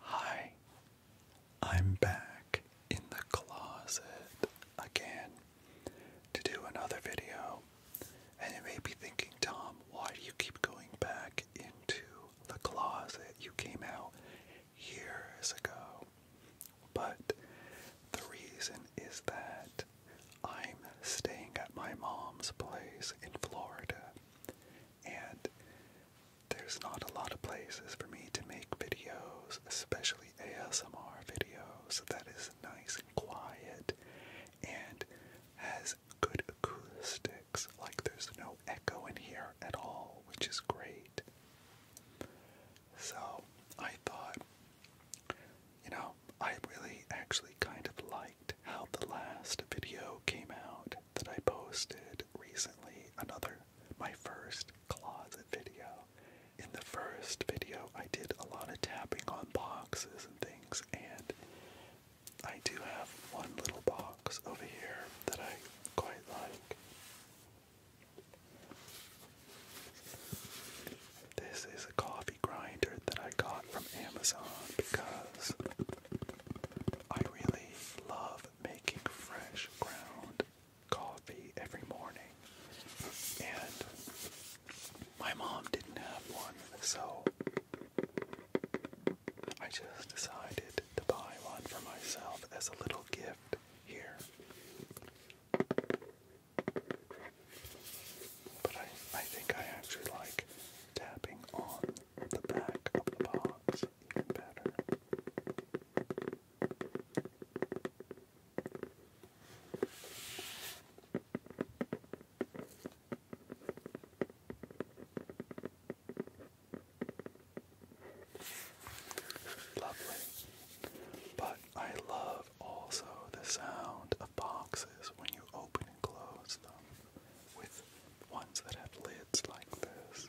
Hi, I'm back in the closet again to do another video. And you may be thinking, Tom, why do you keep going back into the closet? You came out years ago. But the reason is that I'm staying at my mom's place in Florida, and there's not a lot of places for me to make videos, especially ASMR videos, that is nice and quiet and has good acoustics. Like there's no echo in here at all, which is great. So I thought, you know, I really actually kind of liked how the last video came out that I posted recently, another my first closet video. In the first video, I did a lot of tapping on boxes and things, and I do have one little box over here that I quite like. This is a coffee grinder that I got from Amazon because I really love making fresh ground coffee every morning. And my mom didn't have one, so I just decided to buy one for myself as a little gift here. But I, I think I actually like tapping on the back of the box better. Lovely. But I love also the sound of boxes when you open close them with ones that have lids like this.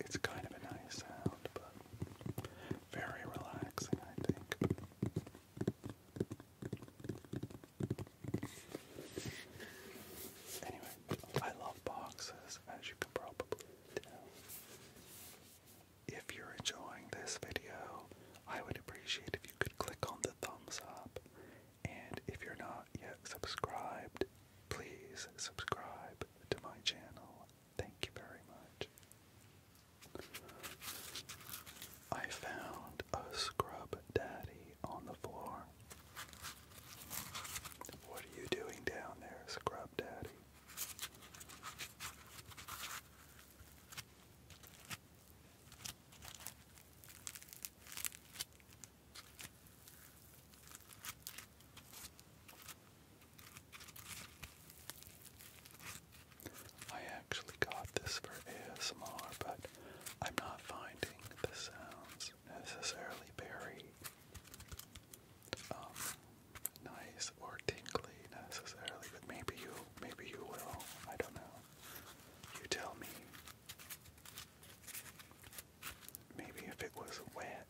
it's kind of a nice sound, but very relaxing, I think. Anyway, I love boxes, as you can probably tell. If you're enjoying this video, I would appreciate if you could click on the thumbs up and if you're not yet subscribed, please subscribe to my channel. Thank you very much. I found a scrub daddy on the floor. What are you doing down there, scrub daddy? I actually got this for ASMR, but I'm not finding the sounds necessarily very um, nice or tinkly necessarily, but maybe you maybe you will. I don't know. You tell me. Maybe if it was wet,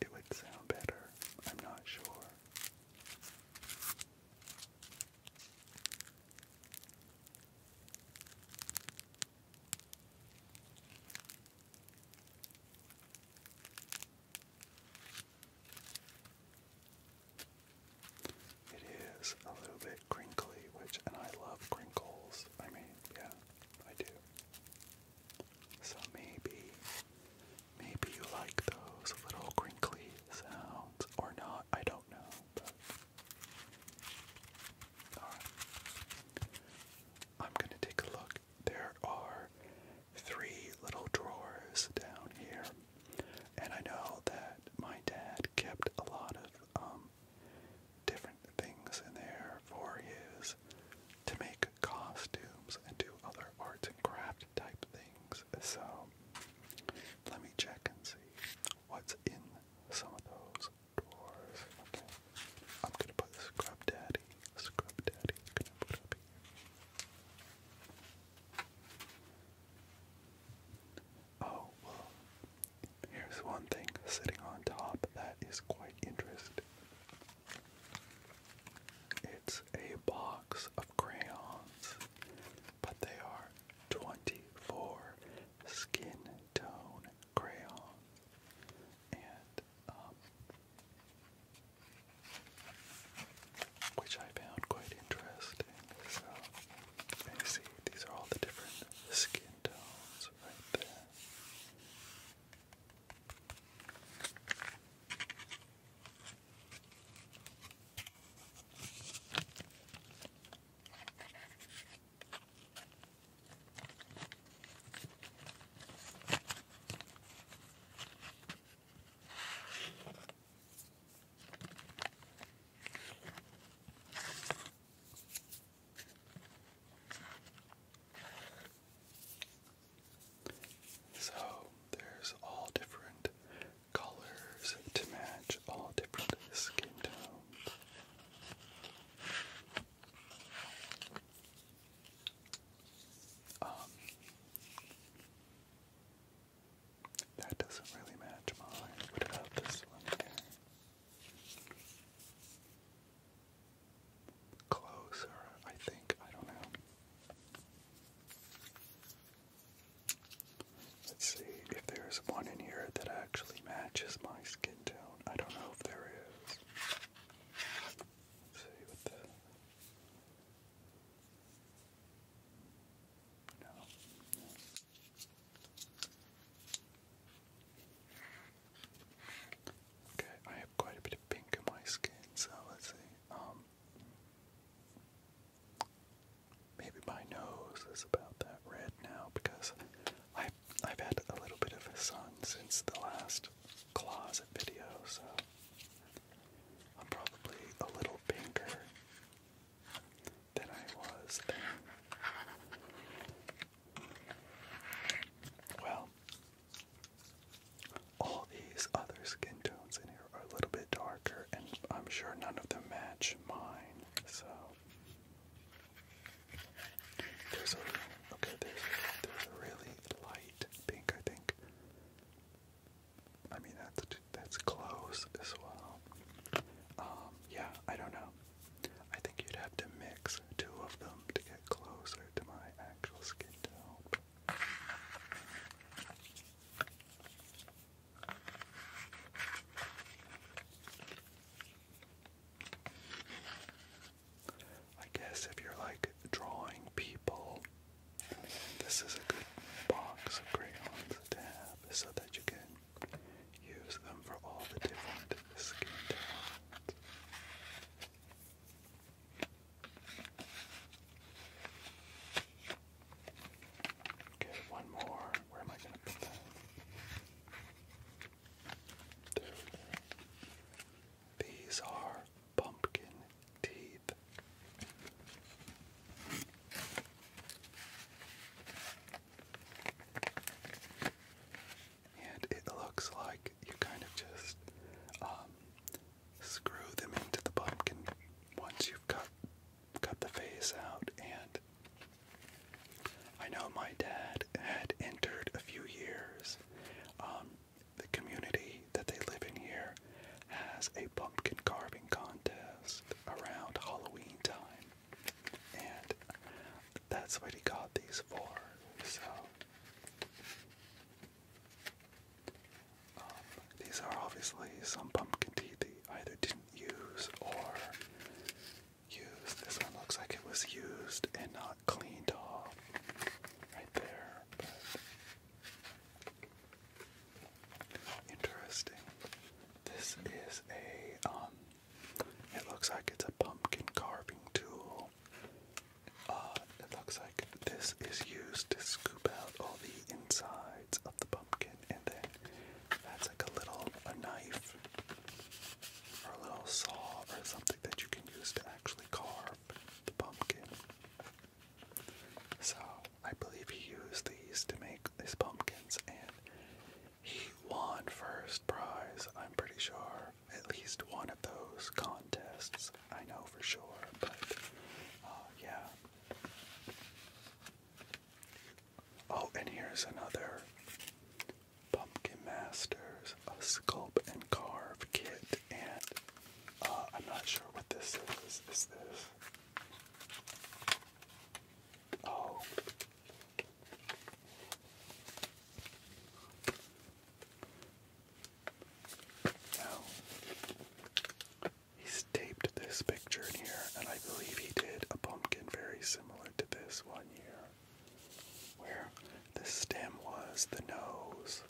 it would sound better. I'm not sure. It is a little bit crinkly, which, and I love crinkles. I mean, yeah, I do. So maybe, maybe you like those little crinkly sounds, or not, I don't know, but. Alright. I'm gonna take a look. There are three little drawers down here. And I know that my dad kept a lot of um, different things in there for his to make costumes and do other arts and craft type things. So let me check and see what's in some of those drawers. Okay. I'm gonna put Scrub Daddy. Scrub Daddy. Gonna put up here. Oh Here's one thing sitting on top that is quite interesting. It's a box of crayons, but they are 24 skin tone crayons. And, um, which I found quite interesting. So see, these are all the different skin tones right there. So there's all different colors to match all different skin tones. Um, that doesn't really match mine. What about this one Closer, I think. I don't know. Let's see if there's one in here that actually matches my skin tone. I don't know if there see with the. no. Okay, I have quite a bit of pink in my skin, so let's see. Um, maybe my nose is about that red now because I've, I've had a little bit of a sun since the last closet video, so I'm probably a little pinker than I was there. Well, all these other skin tones in here are a little bit darker, and I'm sure none of them match mine, so. There's a, okay, there's, there's a really light pink, I think. I mean, that's, that's close as well. Um, yeah, I don't know. I think you'd have to mix two of them to get closer to my actual skin tone. I guess if you're like drawing people, this is a good box of crayons to have so that you can Use them for all the different skin tones. Okay, one more. Where am I going to put that? These are pumpkin teeth. And it looks like you kind of just um, screw them into the pumpkin once you've cut cut the face out. And I know my dad had entered a few years. Um, the community that they live in here has a pumpkin carving contest around Halloween time and that's what he got these for. So um, these are obviously some pumpkin teeth. that either didn't use or used. This one looks like it was used and not cleaned off right there. interesting. This is a, um, it looks like it's a pumpkin carving tool. Uh, it looks like this is used to scoop out all the insides of the pumpkin, and then that's like a little a knife or a little saw or something that you can use to actually carve the pumpkin. So I believe he used these to make these pumpkins, and he won first prize, I'm pretty sure. At least one of those contests, I know for sure, but uh, yeah. Oh, and here's another Pumpkin Masters, a sculpt and carve kit, and uh, I'm not sure what this is. Is this? Oh. Now, he's taped this picture in here, and I believe he did a pumpkin very similar to this one year, where the stem was the nose.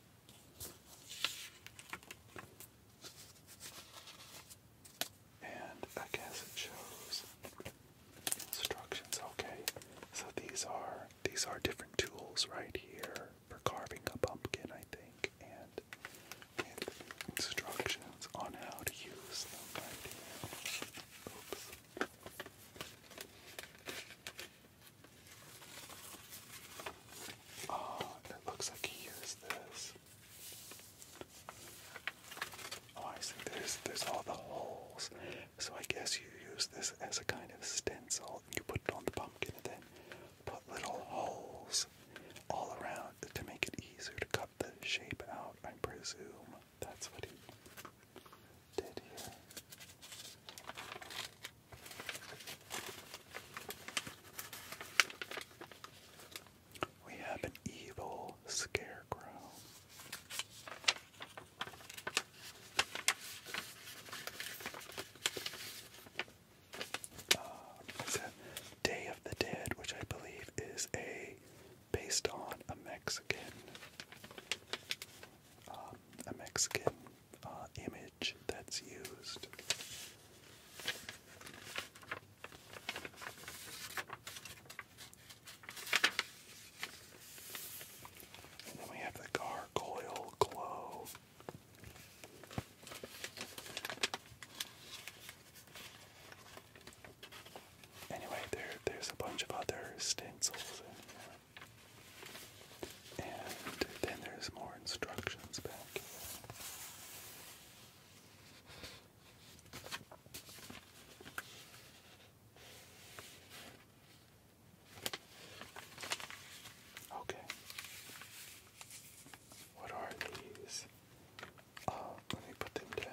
And I guess it shows instructions. Okay, so these are these are different tools right here for carving a pumpkin, I think, and instructions on how to use them oh, it looks like he used this Oh, I see. There's there's all the holes. So I guess you use this as a kind of stencil. You put it on the pumpkin and then put little holes all around to make it easier to cut the shape out. I presume that's what he did here. We have an evil scarecrow. Uh, it's a Day of the Dead, which I believe is a based on a Mexican, um, a Mexican uh, image that's used. And then we have the gargoyle glow. Anyway, there there's a bunch of other stencils And then there's more instructions back here. Okay. What are these? Uh, let me put them down.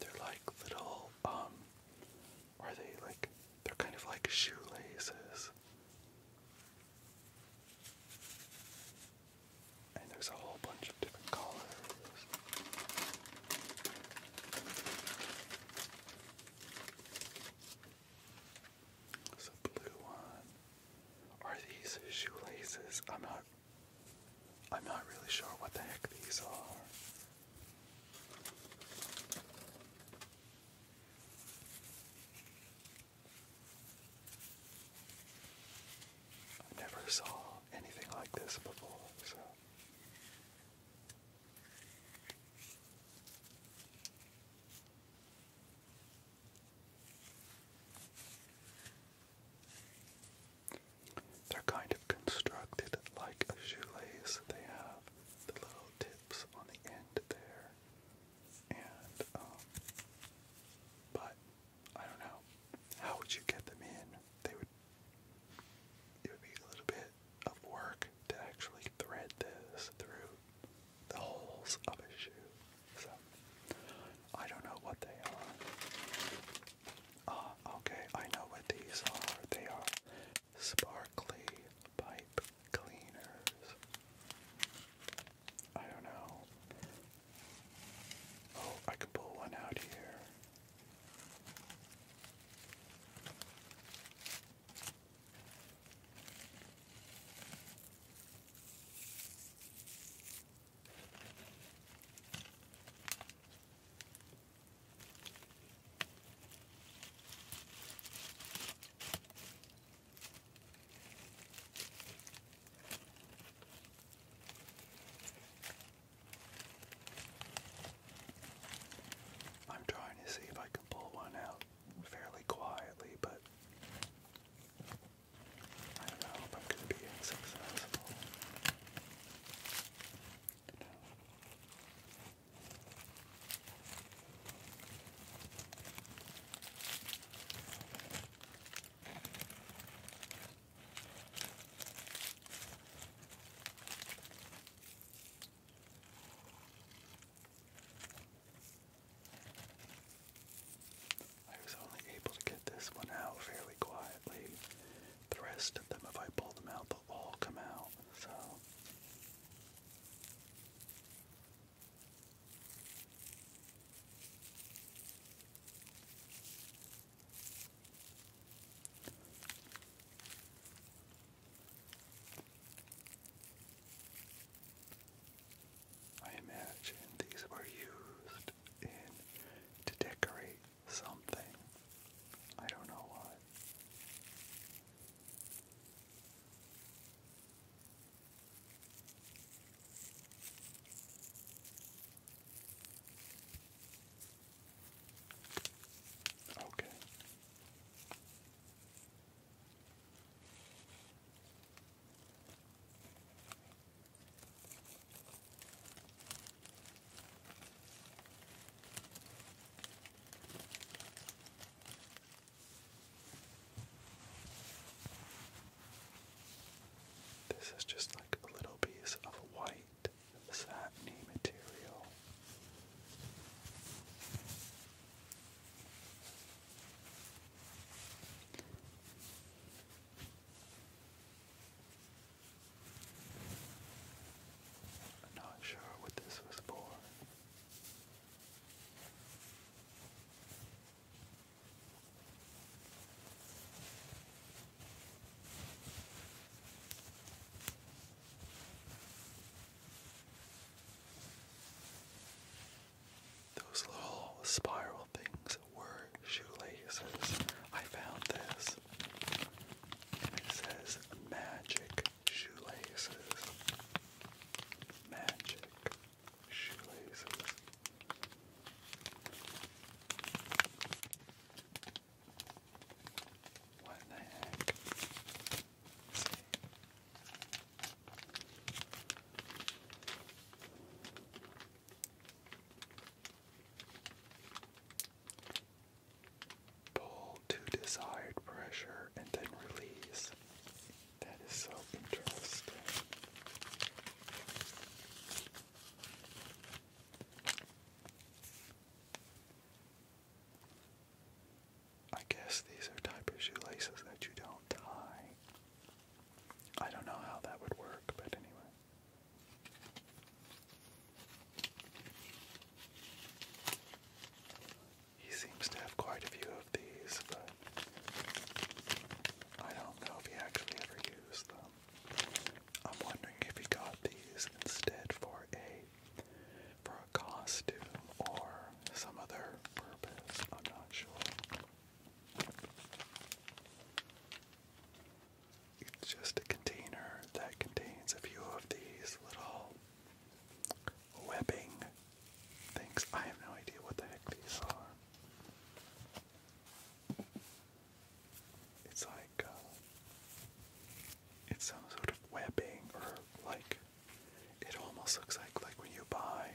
They're like little, um, are they like, they're kind of like shoelaces. And there's a whole bunch of different colors. There's a blue one. Are these shoelaces? I'm not I'm not really sure what the heck these are. I never saw anything like this before, so. They're kind of constructed like shoelaces. They have the little tips on the end there. And, um, but I don't know. How would you get them in? They would, it would be a little bit of work to actually thread this through the holes of a shoe. So, I don't know what they are. Ah, okay, I know what these are. They are sparkly pipe cleaners. I don't know. Oh, I can pull one out here. I'm trying to see if I can pull one out fairly quietly, but I don't know if I'm going to be successful. I was only able to get this one out fairly quiet quietly. The rest of them, if I pull them out, they'll all come out. So. I imagine these were used in to decorate something. I don't know what. Okay. This is just like a little piece of white satin material. I'm not sure what this was for. Those little spiral things were shoelaces. I found this. It says magic shoelaces. Magic shoelaces. What the heck? Pull to desired pressure and then release. That is so interesting. I guess these are type of shoelaces that you don't tie. I don't know how that would work, but anyway. He seems to have quite a few of these, but I don't know if he actually ever used them. I'm wondering if he got these instead for a for a costume or some other purpose. I'm not sure. It's just a container that contains a few of these little webbing things. I have no idea what the heck these are. It's like uh, it's some sort of webbing, or like it almost looks like like when you buy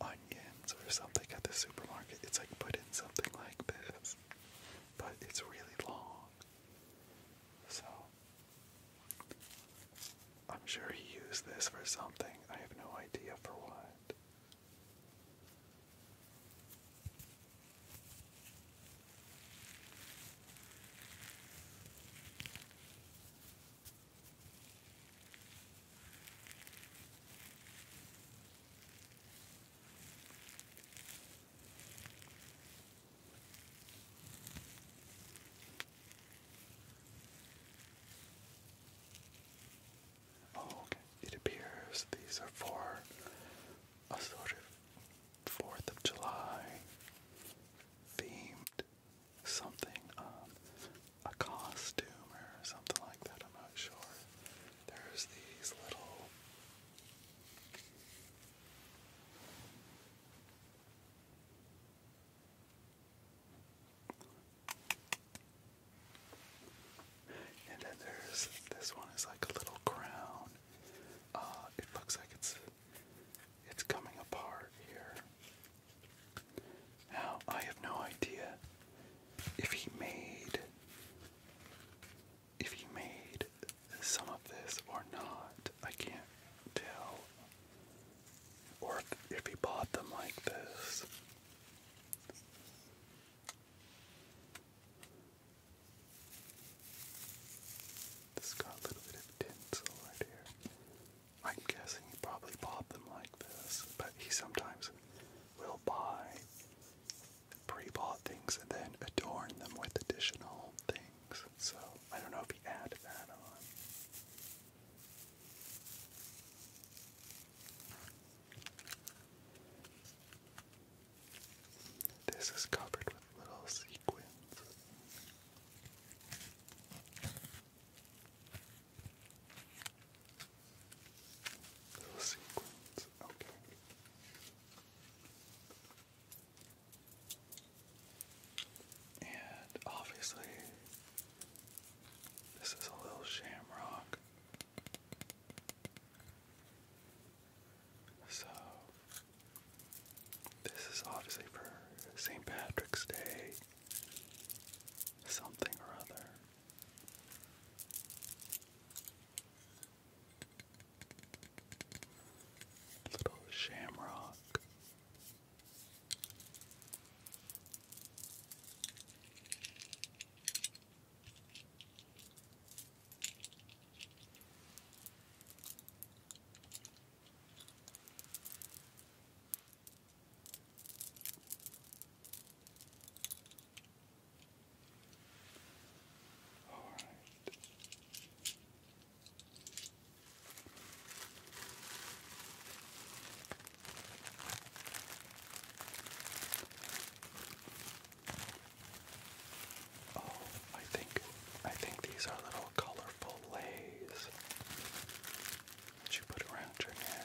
onions or something at the supermarket. It's like put in something like this but it's really long. So I'm sure he used this for something. I have no idea for what. Oh, okay. It appears these are for a sort of Fourth of July themed something, um, a costume or something like that. I'm not sure. There's these little and then there's this one is like a little crown. Uh, it looks like it's it's coming apart here. Now I have no idea if he made if he made some of this or not. I can't tell. Or if, he bought them like this. got a little bit of tinsel right here. I'm guessing he probably bought them like this, but he sometimes will buy pre-bought things and then adorn them with additional things. So I don't know if you add that on. This is covered with little sequins. Little sequins, okay. And obviously, this is a little shamrock. So, this is obviously for St. Patrick's Day, something or other. Little shamrock. All right. Oh, I think I think these are little colorful lays that you put around your neck.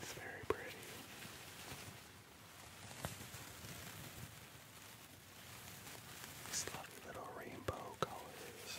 It's very pretty. These lovely little rainbow colors.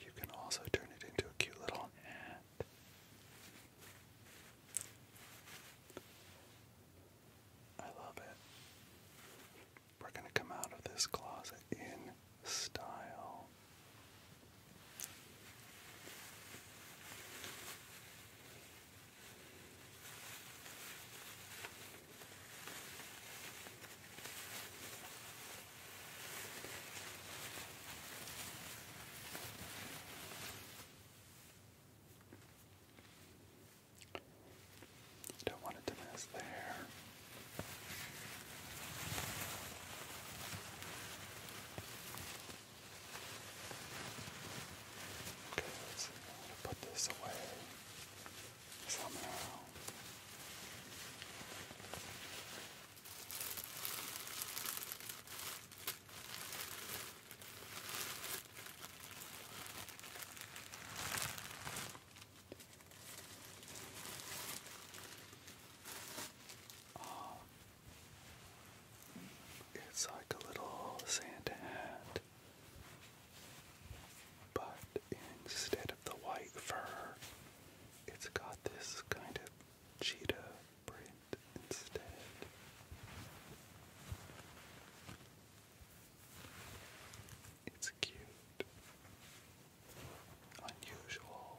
You can also turn it into a cute little hat. I love it. We're going to come out of this closet in style. Don't want it to mess there. Okay, let's put this away somehow. Oh, it's like a little Santa hat, but instead of the white fur, it's got this kind of cheetah print instead. It's cute, unusual.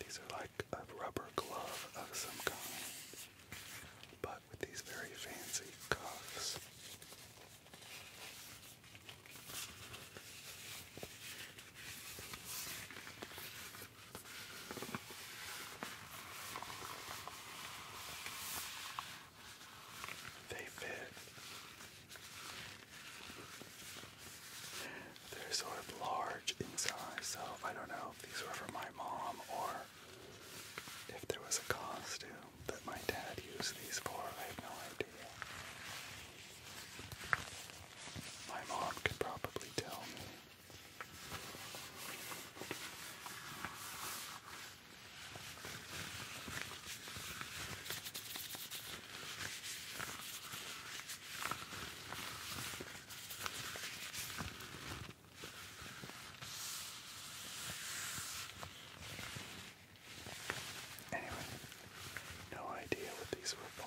These are like a rubber glove of some kind, but with these very fancy cuffs. They fit. They're sort of large in size, so I don't know if these were for my mom or if there was a costume that my dad used these for. I have no idea. My mom could probably tell me. Anyway, no idea what these were for.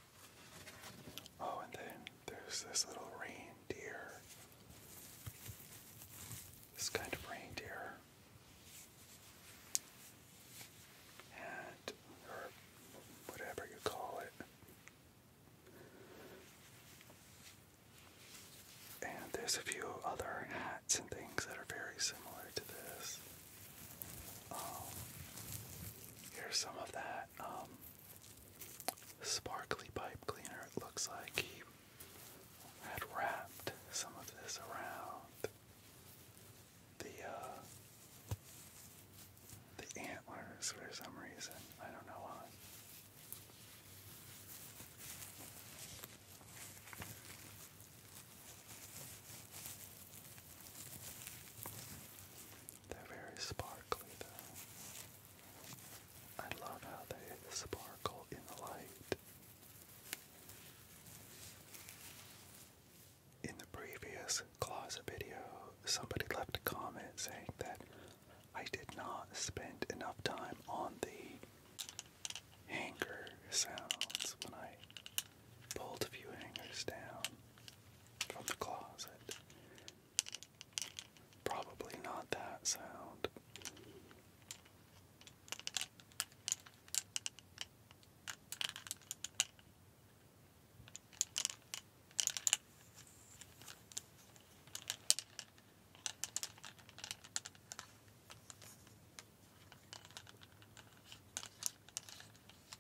Oh, and then there's this little reindeer. This kind of reindeer. And, or whatever you call it. And there's a few other hats and things that are very similar to this. Um, here's some of that um, sparkly pipe cleaner. It looks like he had wrapped some of this around the uh, the antlers for some reason. I don't know why. They're very sparkly though. I love how they sparkle in the light. In the previous closet video, somebody left a comment saying that I did not spend enough time on the hanger sounds when I pulled a few hangers down from the closet. Probably not that sound.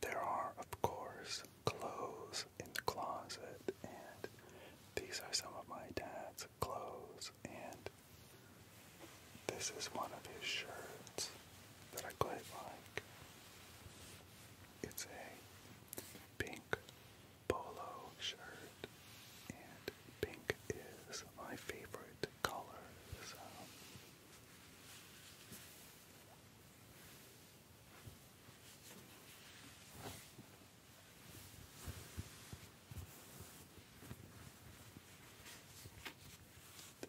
There are, of course, clothes in the closet, and these are some of my dad's clothes, and this is one of his shirts that I quite like. It's a pink polo shirt, and pink is my favorite color,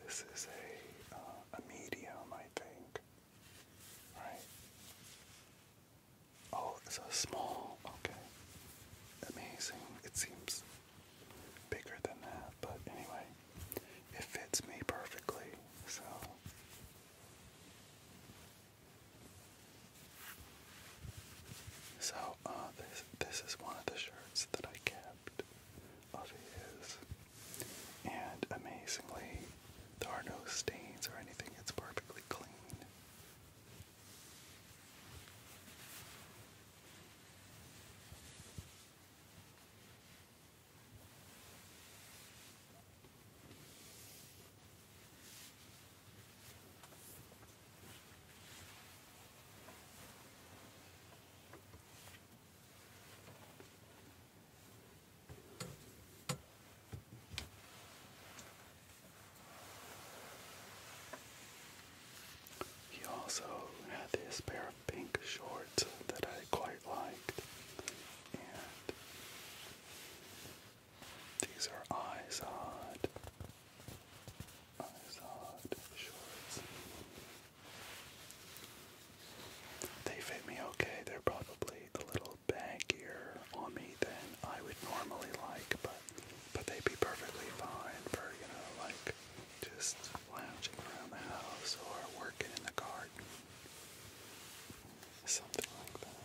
this is a, uh, a medium, I think. Right? Oh, it's small. Okay. Amazing. It seems bigger than that, but anyway, it fits me perfectly, so. So, uh, this, this is one of the shirts that I kept of his. And amazingly, there are no stains or anything, it's perfectly clean. He also had this pair of pink shorts that I quite liked, and these are Izod, Izod shorts. They fit me okay. They're probably a little baggier on me than I would normally like, but but they'd be perfectly fine for, you know, like just lounging around the house or working in the garden. Something like that.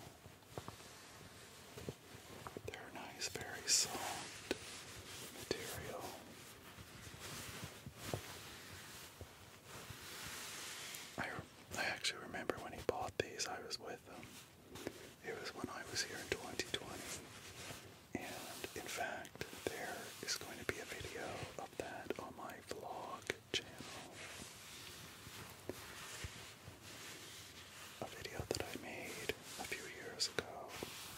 They're nice, very soft material. I, I actually remember when he bought these, I was with him. It was when I was here in 2020. And in fact, there is going to be a video of that on my vlog channel. A video that I made a few years ago,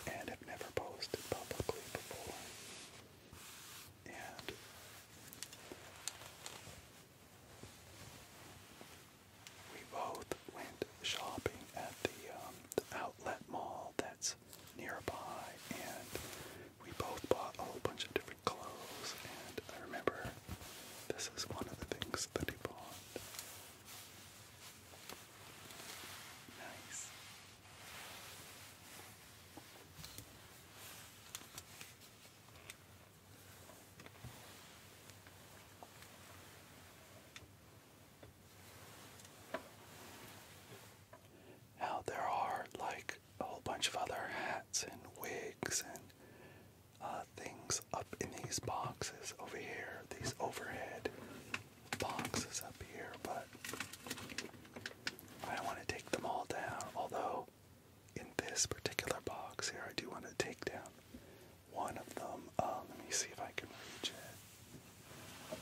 and never posted publicly before. And we both went shopping at the, um, the outlet mall that's nearby, and we both bought a whole bunch of different clothes. And I remember this is one of the things that he bought. Nice. Now, there are like a whole bunch of other hats and wigs and uh, things up in these boxes over here, these overhead boxes up here, but I want to take them all down. Although, in this particular box here, I do want to take down one of them. Um, let me see if I can reach it.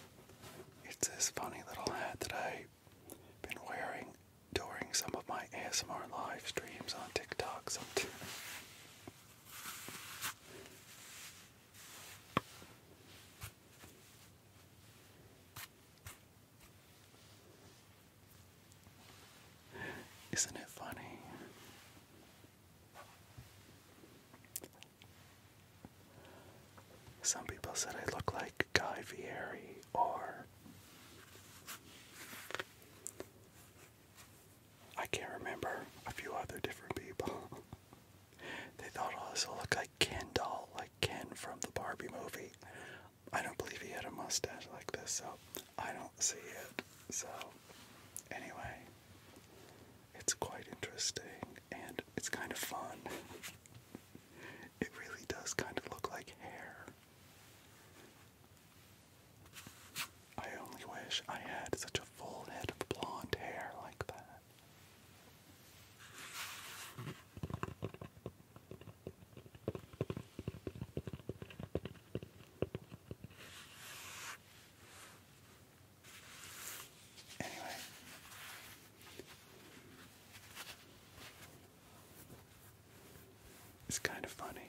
It's this funny little hat that I've been wearing during some of my ASMR live streams on TikTok. So isn't it funny? Some people said I look like Guy Fieri or I can't remember a few other different people. they thought I also looked like Ken doll, like Ken from the Barbie movie. I don't believe he had a mustache like this, so I don't see it. So, anyway, it's quite interesting and it's kind of fun. it really does kind of look like hair. I only wish I had such a full head of blonde hair like that. It's kind of funny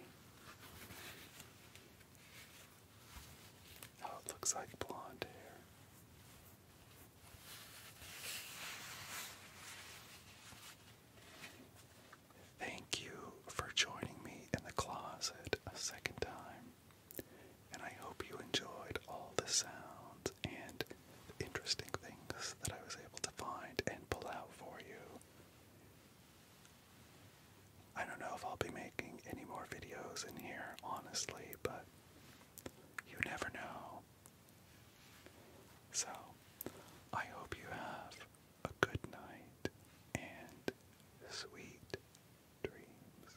how it looks like blonde hair. Thank you for joining me in the closet a second time, and I hope you enjoyed all the sounds and interesting things that I was able to find and pull out for you. I don't know if I'll be making any more videos in here, honestly, but you never know. So, I hope you have a good night and sweet dreams.